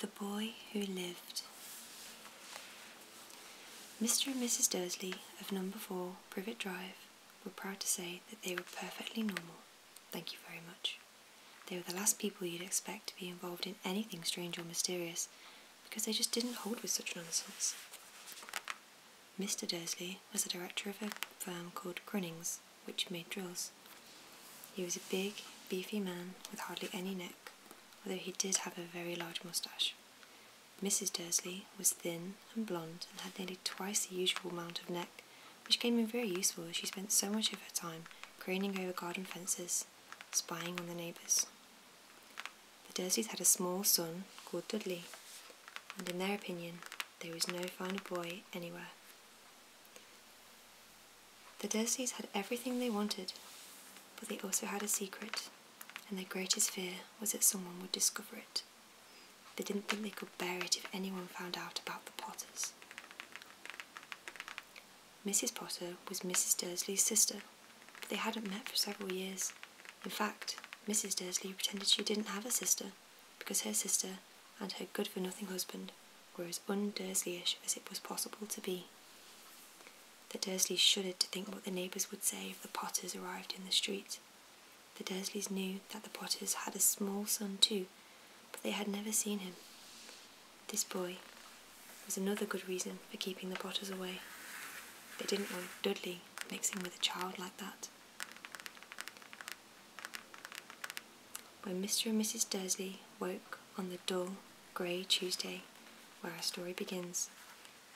The Boy Who Lived. Mr. and Mrs. Dursley of number 4 Privet Drive we're proud to say that they were perfectly normal. Thank you very much. They were the last people you'd expect to be involved in anything strange or mysterious, because they just didn't hold with such nonsense. Mr. Dursley was the director of a firm called Grunnings, which made drills. He was a big, beefy man with hardly any neck, although he did have a very large moustache. Mrs. Dursley was thin and blonde and had nearly twice the usual amount of neck, which came in very useful as she spent so much of her time craning over garden fences, spying on the neighbours. The Dursleys had a small son called Dudley, and in their opinion, there was no finer boy anywhere. The Dursleys had everything they wanted, but they also had a secret, and their greatest fear was that someone would discover it. They didn't think they could bear it if anyone found out about the Potters. Mrs. Potter was Mrs. Dursley's sister, but they hadn't met for several years. In fact, Mrs. Dursley pretended she didn't have a sister because her sister and her good for nothing husband were as un Dursleyish as it was possible to be. The Dursleys shuddered to think what the neighbours would say if the Potters arrived in the street. The Dursleys knew that the Potters had a small son too, but they had never seen him. This boy was another good reason for keeping the Potters away. They didn't want Dudley mixing with a child like that. When Mr. and Mrs. Dursley woke on the dull, grey Tuesday, where our story begins,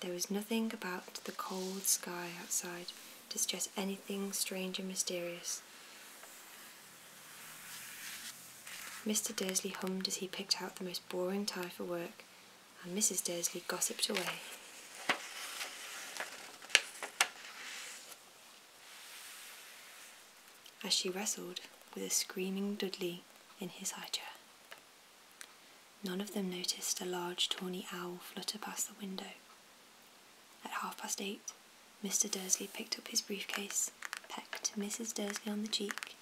there was nothing about the cold sky outside to suggest anything strange and mysterious. Mr. Dursley hummed as he picked out the most boring tie for work, and Mrs. Dursley gossiped away. As she wrestled with a screaming Dudley in his high chair. None of them noticed a large tawny owl flutter past the window. At half past eight, Mr. Dursley picked up his briefcase, pecked Mrs. Dursley on the cheek,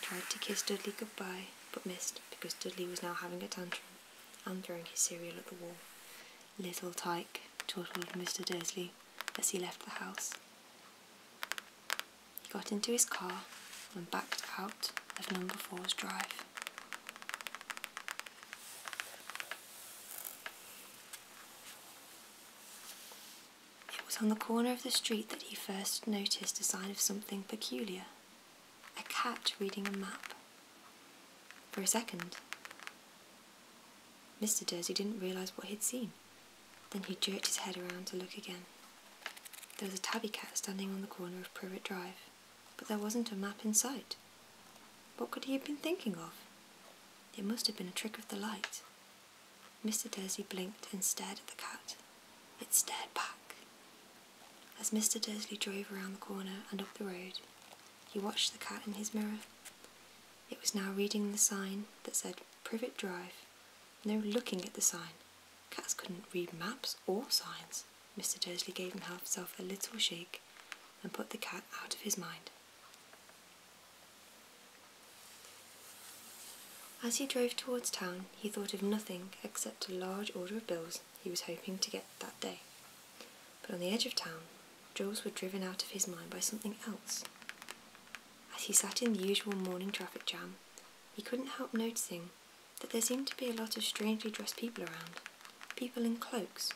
tried to kiss Dudley goodbye, but missed because Dudley was now having a tantrum and throwing his cereal at the wall. Little tyke, told Mr. Dursley as he left the house. He got into his car and backed out of number four's drive. It was on the corner of the street that he first noticed a sign of something peculiar a cat reading a map. For a second, Mr. Dursley didn't realise what he'd seen. Then he jerked his head around to look again. There was a tabby cat standing on the corner of Pruitt Drive but there wasn't a map in sight. What could he have been thinking of? It must have been a trick of the light. Mr. Dursley blinked and stared at the cat. It stared back. As Mr. Dursley drove around the corner and up the road, he watched the cat in his mirror. It was now reading the sign that said Privet Drive. No looking at the sign. Cats couldn't read maps or signs. Mr. Dursley gave himself a little shake and put the cat out of his mind. As he drove towards town, he thought of nothing except a large order of bills he was hoping to get that day. But on the edge of town, Jules were driven out of his mind by something else. As he sat in the usual morning traffic jam, he couldn't help noticing that there seemed to be a lot of strangely dressed people around, people in cloaks.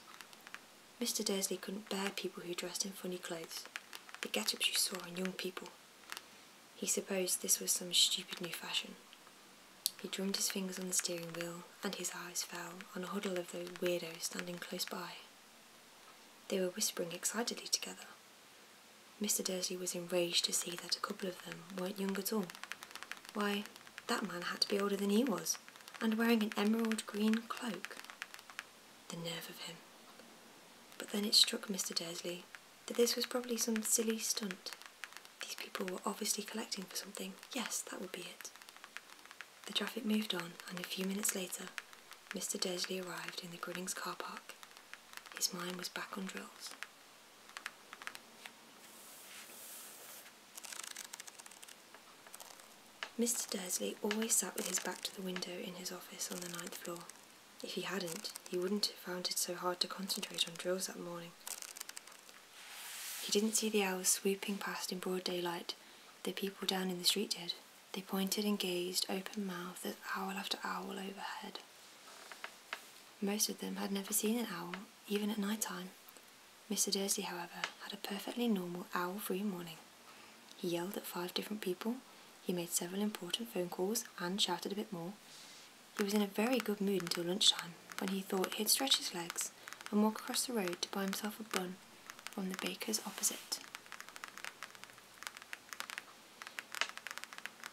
Mr. Dursley couldn't bear people who dressed in funny clothes, the get ups you saw in young people. He supposed this was some stupid new fashion. He drummed his fingers on the steering wheel, and his eyes fell on a huddle of those weirdos standing close by. They were whispering excitedly together. Mr. Dursley was enraged to see that a couple of them weren't young at all, why, that man had to be older than he was, and wearing an emerald green cloak. The nerve of him. But then it struck Mr. Dursley that this was probably some silly stunt. These people were obviously collecting for something. Yes, that would be it. The traffic moved on, and a few minutes later, Mr. Dursley arrived in the Grunnings car park. His mind was back on drills. Mr. Dursley always sat with his back to the window in his office on the ninth floor. If he hadn't, he wouldn't have found it so hard to concentrate on drills that morning. He didn't see the owls swooping past in broad daylight. The people down in the street did. They pointed and gazed, open mouthed, at owl after owl overhead. Most of them had never seen an owl, even at night time. Mr. Dursley, however, had a perfectly normal owl free morning. He yelled at five different people, he made several important phone calls, and shouted a bit more. He was in a very good mood until lunchtime, when he thought he'd stretch his legs and walk across the road to buy himself a bun from the baker's opposite.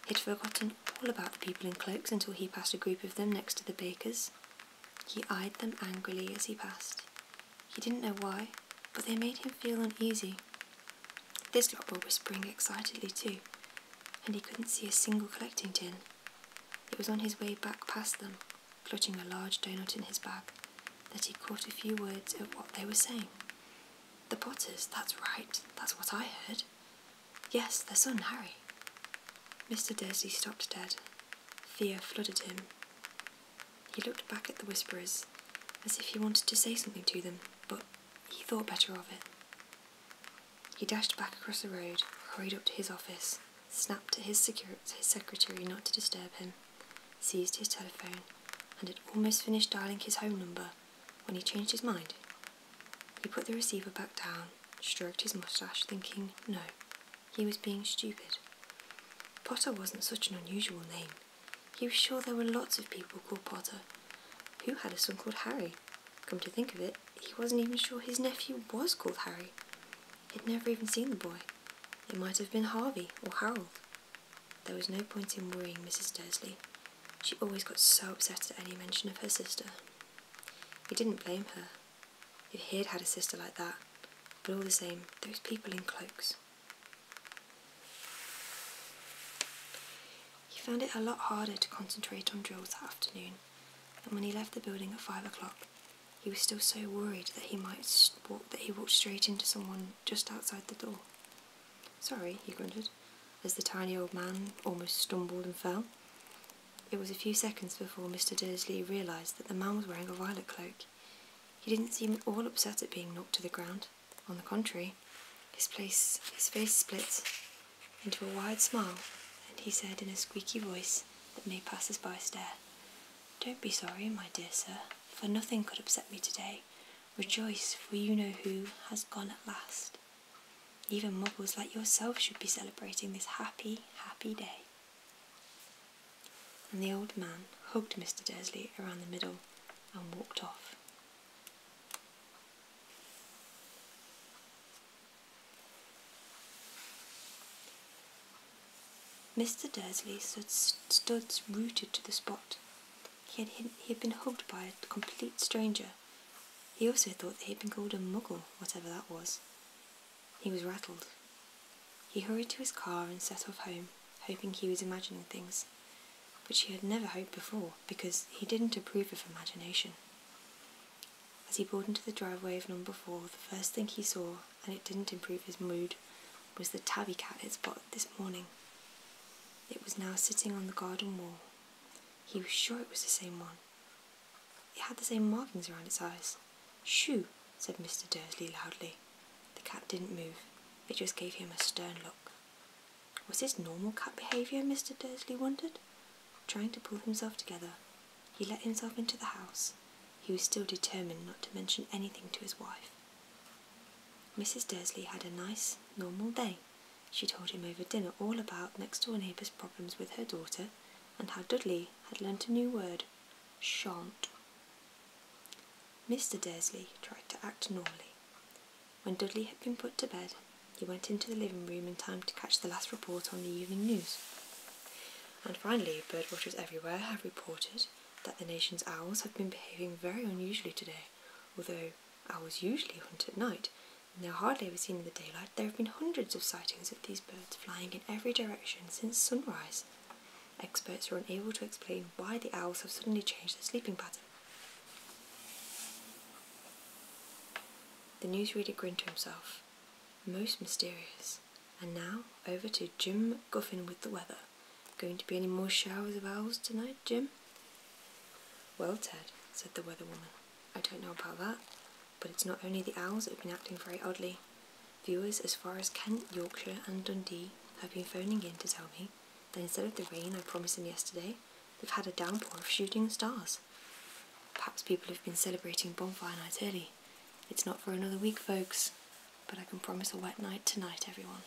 He'd forgotten all about the people in cloaks until he passed a group of them next to the baker's. He eyed them angrily as he passed. He didn't know why, but they made him feel uneasy. This lot were whispering excitedly too, and he couldn't see a single collecting tin. It was on his way back past them, clutching a large doughnut in his bag, that he caught a few words of what they were saying. The potters, that's right, that's what I heard. Yes, their son, Harry. Mr. Dursley stopped dead. Fear flooded him. He looked back at the whisperers, as if he wanted to say something to them, but he thought better of it. He dashed back across the road, hurried up to his office, snapped at his, secu- his secretary not to disturb him, seized his telephone, and had almost finished dialing his home number when he changed his mind he put the receiver back down, stroked his moustache, thinking, no, he was being stupid. Potter wasn't such an unusual name. He was sure there were lots of people called Potter. Who had a son called Harry? Come to think of it, he wasn't even sure his nephew was called Harry. He'd never even seen the boy. It might have been Harvey or Harold. There was no point in worrying Mrs. Dursley. She always got so upset at any mention of her sister. He didn't blame her. If he'd had a sister like that, but all the same, those people in cloaks. He found it a lot harder to concentrate on drills that afternoon, and when he left the building at five o'clock, he was still so worried that he might walk that he walked straight into someone just outside the door. Sorry, he grunted as the tiny old man almost stumbled and fell. It was a few seconds before Mr. Dursley realised that the man was wearing a violet cloak. He didn't seem at all upset at being knocked to the ground. On the contrary, his, his face split into a wide smile, and he said in a squeaky voice that made passers-by stare, Don't be sorry, my dear sir, for nothing could upset me today. Rejoice, for you know who has gone at last. Even muggles like yourself should be celebrating this happy, happy day. And the old man hugged Mr. Dursley around the middle and walked off. Mr. Dursley stood, rooted to the spot. He had, he had been hugged by a complete stranger, he also thought that he'd been called a muggle, whatever that was. He was rattled. He hurried to his car and set off home, hoping he was imagining things, which he had never hoped before because he didn't approve of imagination. As he pulled into the driveway of number four, the first thing he saw, and it didn't improve his mood, was the tabby cat he'd spotted this morning. It was now sitting on the garden wall, he was sure it was the same one. It had the same markings around its eyes. Shoo! said Mr. Dursley loudly. The cat didn't move. It just gave him a stern look. Was this normal cat behaviour? Mr. Dursley wondered. Trying to pull himself together, he let himself into the house. He was still determined not to mention anything to his wife. Mrs. Dursley had a nice, normal day. She told him over dinner all about next door neighbour's problems with her daughter and how Dudley had learnt a new word, shan't. Mr. Dursley tried to act normally. When Dudley had been put to bed, he went into the living room in time to catch the last report on the evening news. And finally, bird watchers everywhere have reported that the nation's owls have been behaving very unusually today, although Owls usually hunt at night, and they're hardly ever seen in the daylight. There have been hundreds of sightings of these birds flying in every direction since sunrise. Experts are unable to explain why the owls have suddenly changed their sleeping pattern. The newsreader grinned to himself. Most mysterious. And now, over to Jim Guffin with the weather. Going to be any more showers of owls tonight, Jim? Well, Ted, said the weather woman, I don't know about that, but it's not only the owls that have been acting very oddly. Viewers as far as Kent, Yorkshire, and Dundee have been phoning in to tell me that instead of the rain I promised them yesterday, they've had a downpour of shooting stars. Perhaps people have been celebrating bonfire night early. It's not for another week, folks, but I can promise a wet night tonight, everyone.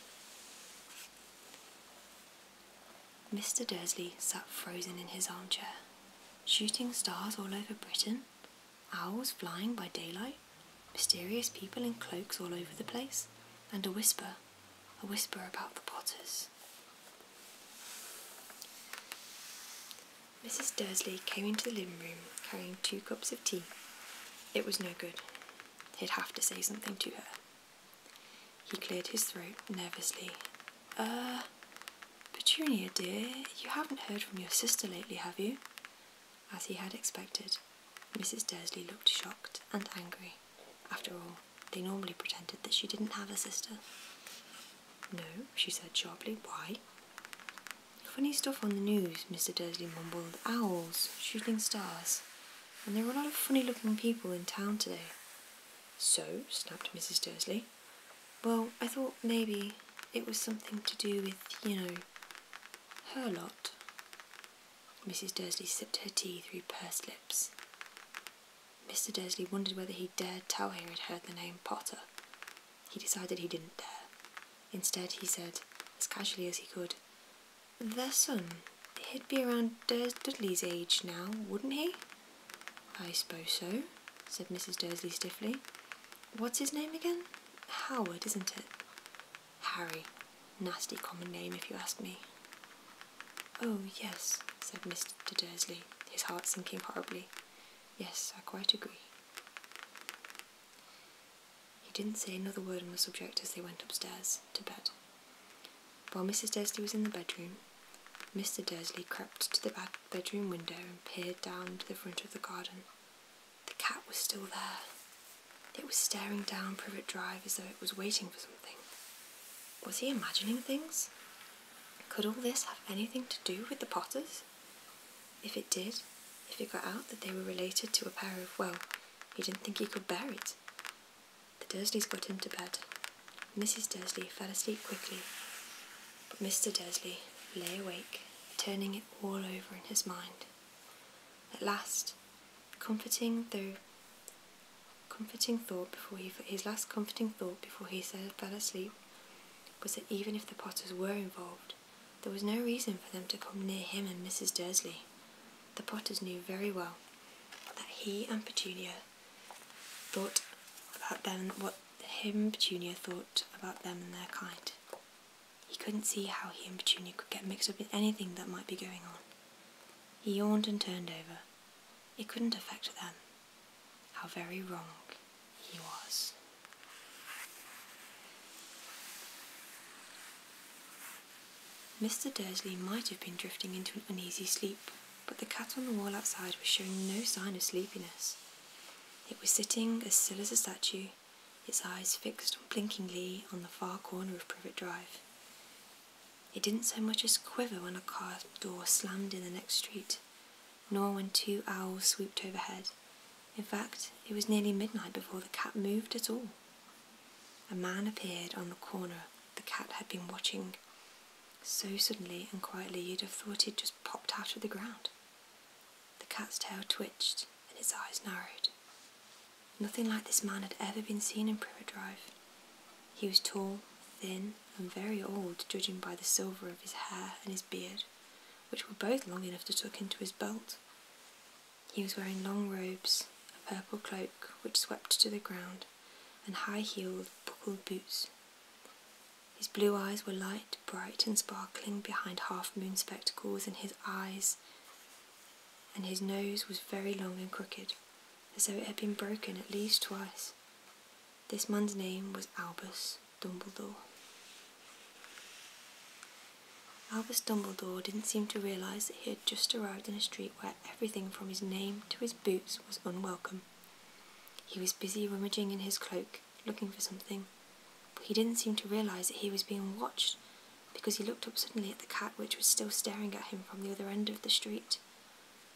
Mr. Dursley sat frozen in his armchair. Shooting stars all over Britain, owls flying by daylight, mysterious people in cloaks all over the place, and a whisper, a whisper about the Potters. Mrs. Dursley came into the living room carrying two cups of tea. It was no good. He'd have to say something to her. He cleared his throat nervously. Er, uh, Petunia dear, you haven't heard from your sister lately, have you? As he had expected, Mrs. Dursley looked shocked and angry. After all, they normally pretended that she didn't have a sister. No, she said sharply. Why? Funny stuff on the news, Mr. Dursley mumbled. Owls, shooting stars. And there are a lot of funny looking people in town today. So, snapped Mrs. Dursley. Well, I thought maybe it was something to do with, you know, her lot. Mrs. Dursley sipped her tea through pursed lips. Mr. Dursley wondered whether he dared tell her he'd heard the name Potter. He decided he didn't dare. Instead, he said, as casually as he could, their son. He'd be around Durs Dudley's age now, wouldn't he? I suppose so, said Mrs. Dursley stiffly. What's his name again? Howard, isn't it? Harry. Nasty common name, if you ask me. Oh, yes, said Mr. Dursley, his heart sinking horribly. Yes, I quite agree. He didn't say another word on the subject as they went upstairs to bed. While Mrs. Dursley was in the bedroom, Mr. Dursley crept to the bedroom window and peered down to the front of the garden. The cat was still there. It was staring down Privet Drive as though it was waiting for something. Was he imagining things? Could all this have anything to do with the Potters? If it did, if it got out that they were related to a pair of, well, he didn't think he could bear it. The Dursleys got him to bed. Mrs. Dursley fell asleep quickly, but Mr. Dursley lay awake, turning it all over in his mind. At last, comforting though comforting thought before he his last comforting thought before he fell asleep was that even if the Potters were involved, there was no reason for them to come near him and Mrs. Dursley the Potters knew very well that he and Petunia thought about them what him and Petunia thought about them and their kind. He couldn't see how he and Petunia could get mixed up in anything that might be going on. He yawned and turned over. It couldn't affect them. How very wrong he was. Mr. Dursley might have been drifting into an uneasy sleep, but the cat on the wall outside was showing no sign of sleepiness. It was sitting as still as a statue, its eyes fixed blinkingly on the far corner of Privet Drive. It didn't so much as quiver when a car door slammed in the next street, nor when two owls swooped overhead. In fact, it was nearly midnight before the cat moved at all. A man appeared on the corner the cat had been watching so suddenly and quietly you'd have thought he'd just popped out of the ground. The cat's tail twitched and its eyes narrowed. Nothing like this man had ever been seen in Privet Drive. He was tall, thin, and very old, judging by the silver of his hair and his beard, which were both long enough to tuck into his belt. He was wearing long robes, a purple cloak which swept to the ground, and high heeled buckled boots. His blue eyes were light, bright, and sparkling behind half moon spectacles, and his eyes and his nose was very long and crooked, as though it had been broken at least twice. This man's name was Albus Dumbledore. Albus Dumbledore didn't seem to realise that he had just arrived in a street where everything from his name to his boots was unwelcome. He was busy rummaging in his cloak, looking for something, but he didn't seem to realise that he was being watched because he looked up suddenly at the cat which was still staring at him from the other end of the street.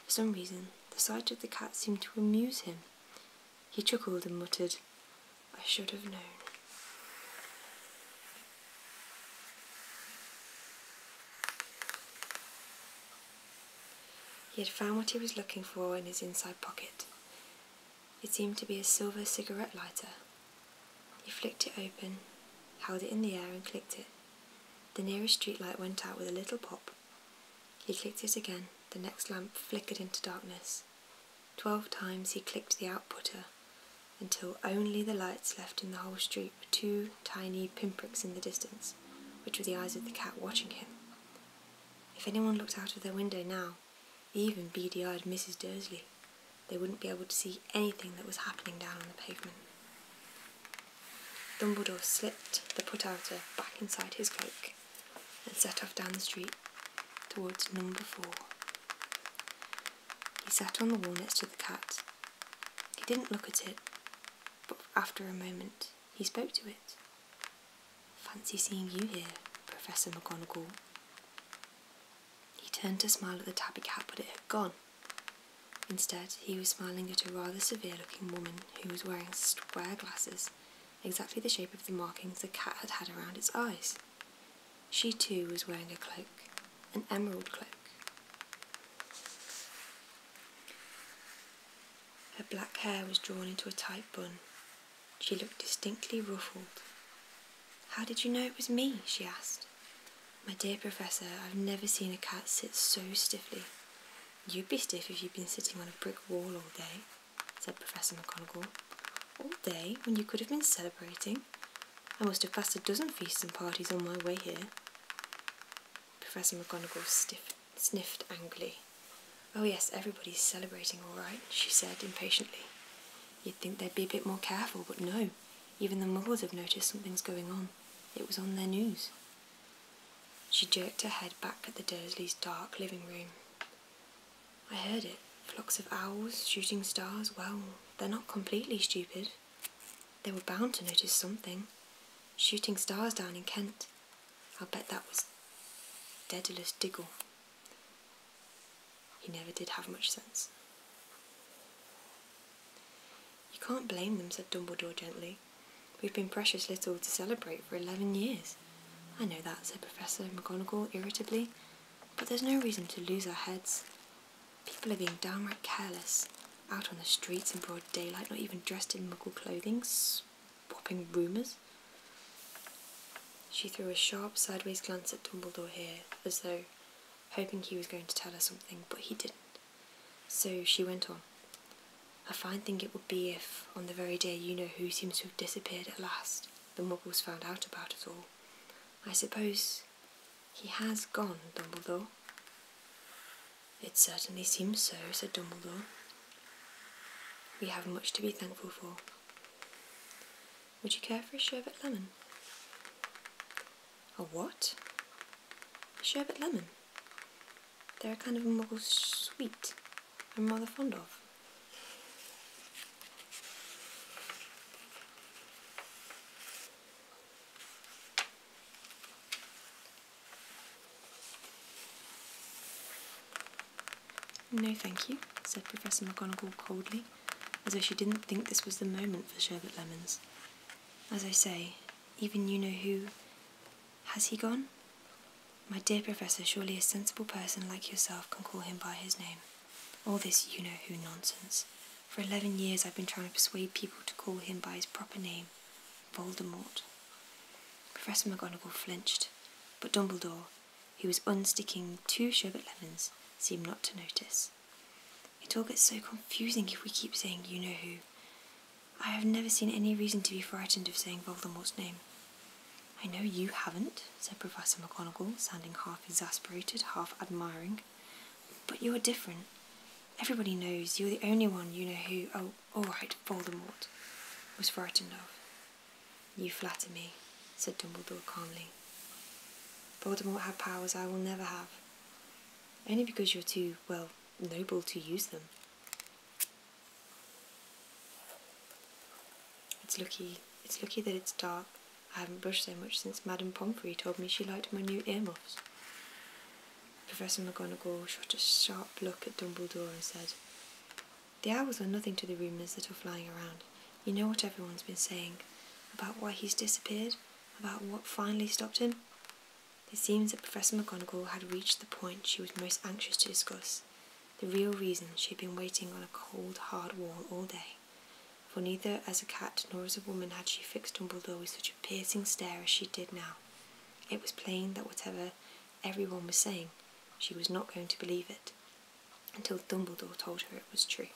For some reason, the sight of the cat seemed to amuse him. He chuckled and muttered, I should have known. He had found what he was looking for in his inside pocket. It seemed to be a silver cigarette lighter. He flicked it open, held it in the air and clicked it. The nearest streetlight went out with a little pop. He clicked it again. The next lamp flickered into darkness. Twelve times he clicked the outputter until only the lights left in the whole street were two tiny pinpricks in the distance, which were the eyes of the cat watching him. If anyone looked out of their window now, even beady eyed Mrs. Dursley, they wouldn't be able to see anything that was happening down on the pavement. Dumbledore slipped the put outer back inside his cloak and set off down the street towards number four. He sat on the wall next to the cat he didn't look at it, but after a moment he spoke to it. Fancy seeing you here, Professor McGonagall. He turned to smile at the tabby cat, but it had gone. Instead, he was smiling at a rather severe looking woman who was wearing square glasses, exactly the shape of the markings the cat had had around its eyes. She too was wearing a cloak, an emerald cloak. Her black hair was drawn into a tight bun. She looked distinctly ruffled. How did you know it was me? she asked. My dear Professor, I've never seen a cat sit so stiffly. You'd be stiff if you'd been sitting on a brick wall all day, said Professor McGonagall. All day, when you could have been celebrating. I must have passed a dozen feasts and parties on my way here. Professor McGonagall sniffed angrily. Oh, yes, everybody's celebrating all right, she said impatiently. You'd think they'd be a bit more careful, but no. Even the muggles have noticed something's going on. It was on their news. She jerked her head back at the Dursleys' dark living room. I heard it. Flocks of owls, shooting stars, well, they're not completely stupid. They were bound to notice something. Shooting stars down in Kent. I'll bet that was Daedalus Diggle. He never did have much sense. You can't blame them, said Dumbledore gently. We've been precious little to celebrate for eleven years. I know that, said Professor McGonagall irritably, but there's no reason to lose our heads. People are being downright careless, out on the streets in broad daylight, not even dressed in muggle clothing, swapping rumours. She threw a sharp, sideways glance at Dumbledore here, as though hoping he was going to tell her something, but he didn't. So she went on. A fine thing it would be if, on the very day you know who seems to have disappeared at last, the muggles found out about us all. I suppose he has gone, Dumbledore. It certainly seems so, said Dumbledore. We have much to be thankful for. Would you care for a sherbet lemon? A what? A sherbet lemon. They're a kind of muggle sweet I'm rather fond of. No, thank you, said Professor McGonagall coldly, as though she didn't think this was the moment for sherbet lemons. As I say, even you know who. Has he gone? My dear Professor, surely a sensible person like yourself can call him by his name. All this you know who nonsense. For eleven years I've been trying to persuade people to call him by his proper name, Voldemort. Professor McGonagall flinched, but Dumbledore, who was unsticking two sherbet lemons, seemed not to notice. It all gets so confusing if we keep saying you know who. I have never seen any reason to be frightened of saying Voldemort's name. I know you haven't, said Professor McGonagall, sounding half exasperated, half admiring. But you're different. Everybody knows you're the only one you know who, oh, alright, Voldemort, was frightened of. You flatter me, said Dumbledore calmly. Voldemort had powers I will never have. Only because you're too, well, noble to use them. It's lucky, it's lucky that it's dark I haven't brushed so much since Madame Pomfrey told me she liked my new earmuffs. Professor McGonagall shot a sharp look at Dumbledore and said, The owls are nothing to the rumours that are flying around. You know what everyone's been saying about why he's disappeared, about what finally stopped him? It seems that Professor McGonagall had reached the point she was most anxious to discuss, the real reason she had been waiting on a cold, hard wall all day for neither as a cat nor as a woman had she fixed Dumbledore with such a piercing stare as she did now. It was plain that whatever everyone was saying, she was not going to believe it until Dumbledore told her it was true.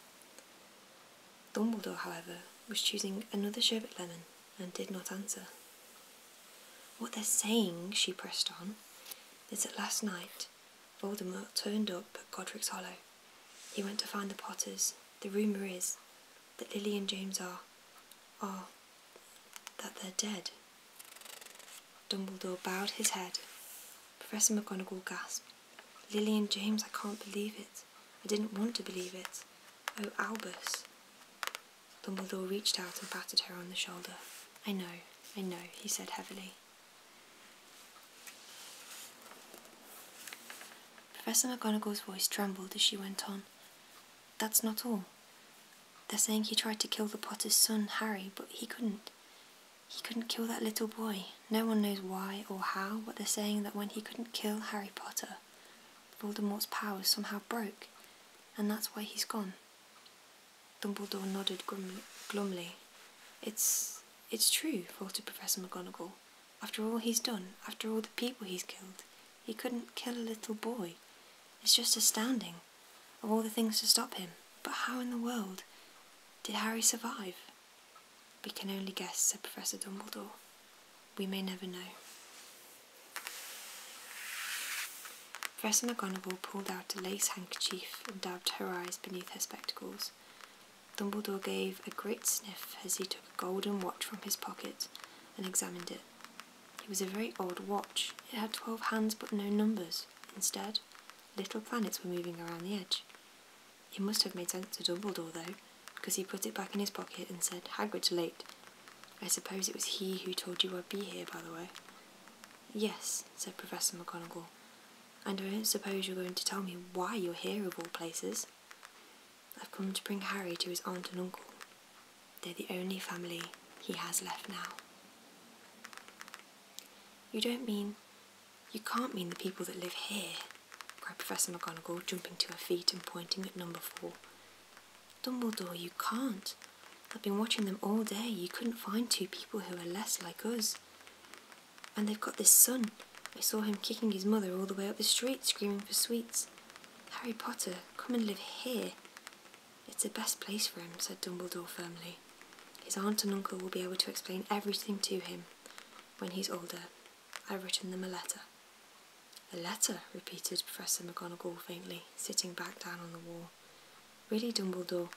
Dumbledore, however, was choosing another sherbet lemon and did not answer. What they're saying, she pressed on, is that last night Voldemort turned up at Godric's Hollow he went to find the Potters. The rumour is that Lily and James are. are. that they're dead. Dumbledore bowed his head. Professor McGonagall gasped. Lily and James, I can't believe it. I didn't want to believe it. Oh, Albus. Dumbledore reached out and patted her on the shoulder. I know, I know, he said heavily. Professor McGonagall's voice trembled as she went on. That's not all. They're saying he tried to kill the potter's son, Harry, but he couldn't. He couldn't kill that little boy. No one knows why or how, but they're saying that when he couldn't kill Harry Potter, Voldemort's powers somehow broke, and that's why he's gone. Dumbledore nodded glumly. It's it's true, faltered Professor McGonagall after all he's done, after all the people he's killed, he couldn't kill a little boy. It's just astounding, of all the things to stop him. But how in the world did Harry survive? We can only guess, said Professor Dumbledore. We may never know. Professor McGonagall pulled out a lace handkerchief and dabbed her eyes beneath her spectacles. Dumbledore gave a great sniff as he took a golden watch from his pocket and examined it. It was a very odd watch. It had twelve hands but no numbers. Instead, little planets were moving around the edge. It must have made sense to Dumbledore, though, because he put it back in his pocket and said, Hagrid's late. I suppose it was he who told you I'd be here, by the way. Yes, said Professor McGonagall. I don't suppose you're going to tell me why you're here of all places. I've come to bring Harry to his aunt and uncle. They're the only family he has left now. You don't mean. You can't mean the people that live here, cried Professor McGonagall, jumping to her feet and pointing at number four. Dumbledore, you can't. I've been watching them all day. You couldn't find two people who are less like us. And they've got this son. I saw him kicking his mother all the way up the street, screaming for sweets. Harry Potter, come and live here. It's the best place for him, said Dumbledore firmly. His aunt and uncle will be able to explain everything to him when he's older. I've written them a letter. A letter, repeated Professor McGonagall faintly, sitting back down on the wall. Really, Dumbledore,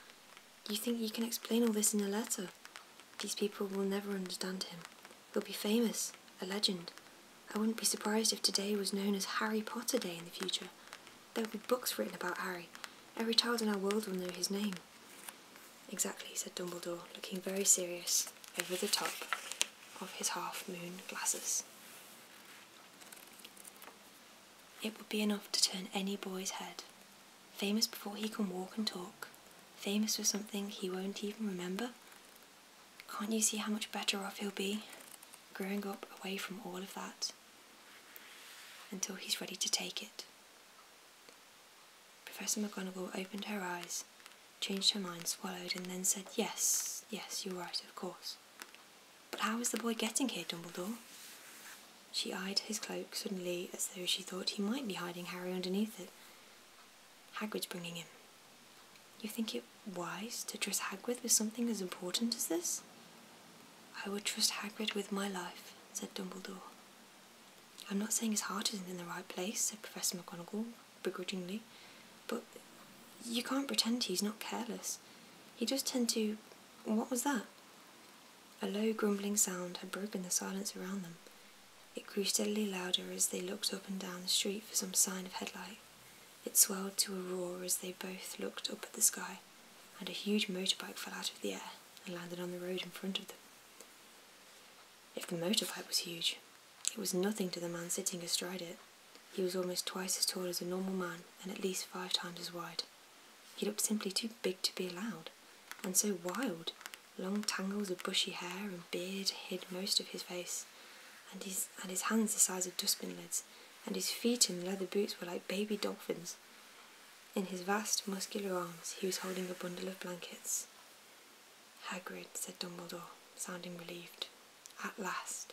you think you can explain all this in a letter? These people will never understand him. He'll be famous, a legend. I wouldn't be surprised if today was known as Harry Potter Day in the future. There'll be books written about Harry. Every child in our world will know his name. Exactly, said Dumbledore, looking very serious over the top of his half-moon glasses. It would be enough to turn any boy's head famous before he can walk and talk, famous for something he won't even remember. Can't you see how much better off he'll be growing up away from all of that until he's ready to take it? Professor McGonagall opened her eyes, changed her mind, swallowed, and then said, Yes, yes, you're right, of course. But how is the boy getting here, Dumbledore? She eyed his cloak suddenly as though she thought he might be hiding Harry underneath it. Hagrid's bringing him. You think it wise to trust Hagrid with something as important as this? I would trust Hagrid with my life, said Dumbledore. I'm not saying his heart isn't in the right place, said Professor McGonagall begrudgingly, but you can't pretend he's not careless. He does tend to. What was that? A low grumbling sound had broken the silence around them. It grew steadily louder as they looked up and down the street for some sign of headlight. It swelled to a roar as they both looked up at the sky, and a huge motorbike fell out of the air and landed on the road in front of them. If the motorbike was huge, it was nothing to the man sitting astride it. He was almost twice as tall as a normal man and at least five times as wide. He looked simply too big to be allowed, and so wild. Long tangles of bushy hair and beard hid most of his face, and his, and his hands the size of dustbin lids, and his feet in leather boots were like baby dolphins. In his vast, muscular arms, he was holding a bundle of blankets. Hagrid, said Dumbledore, sounding relieved. At last.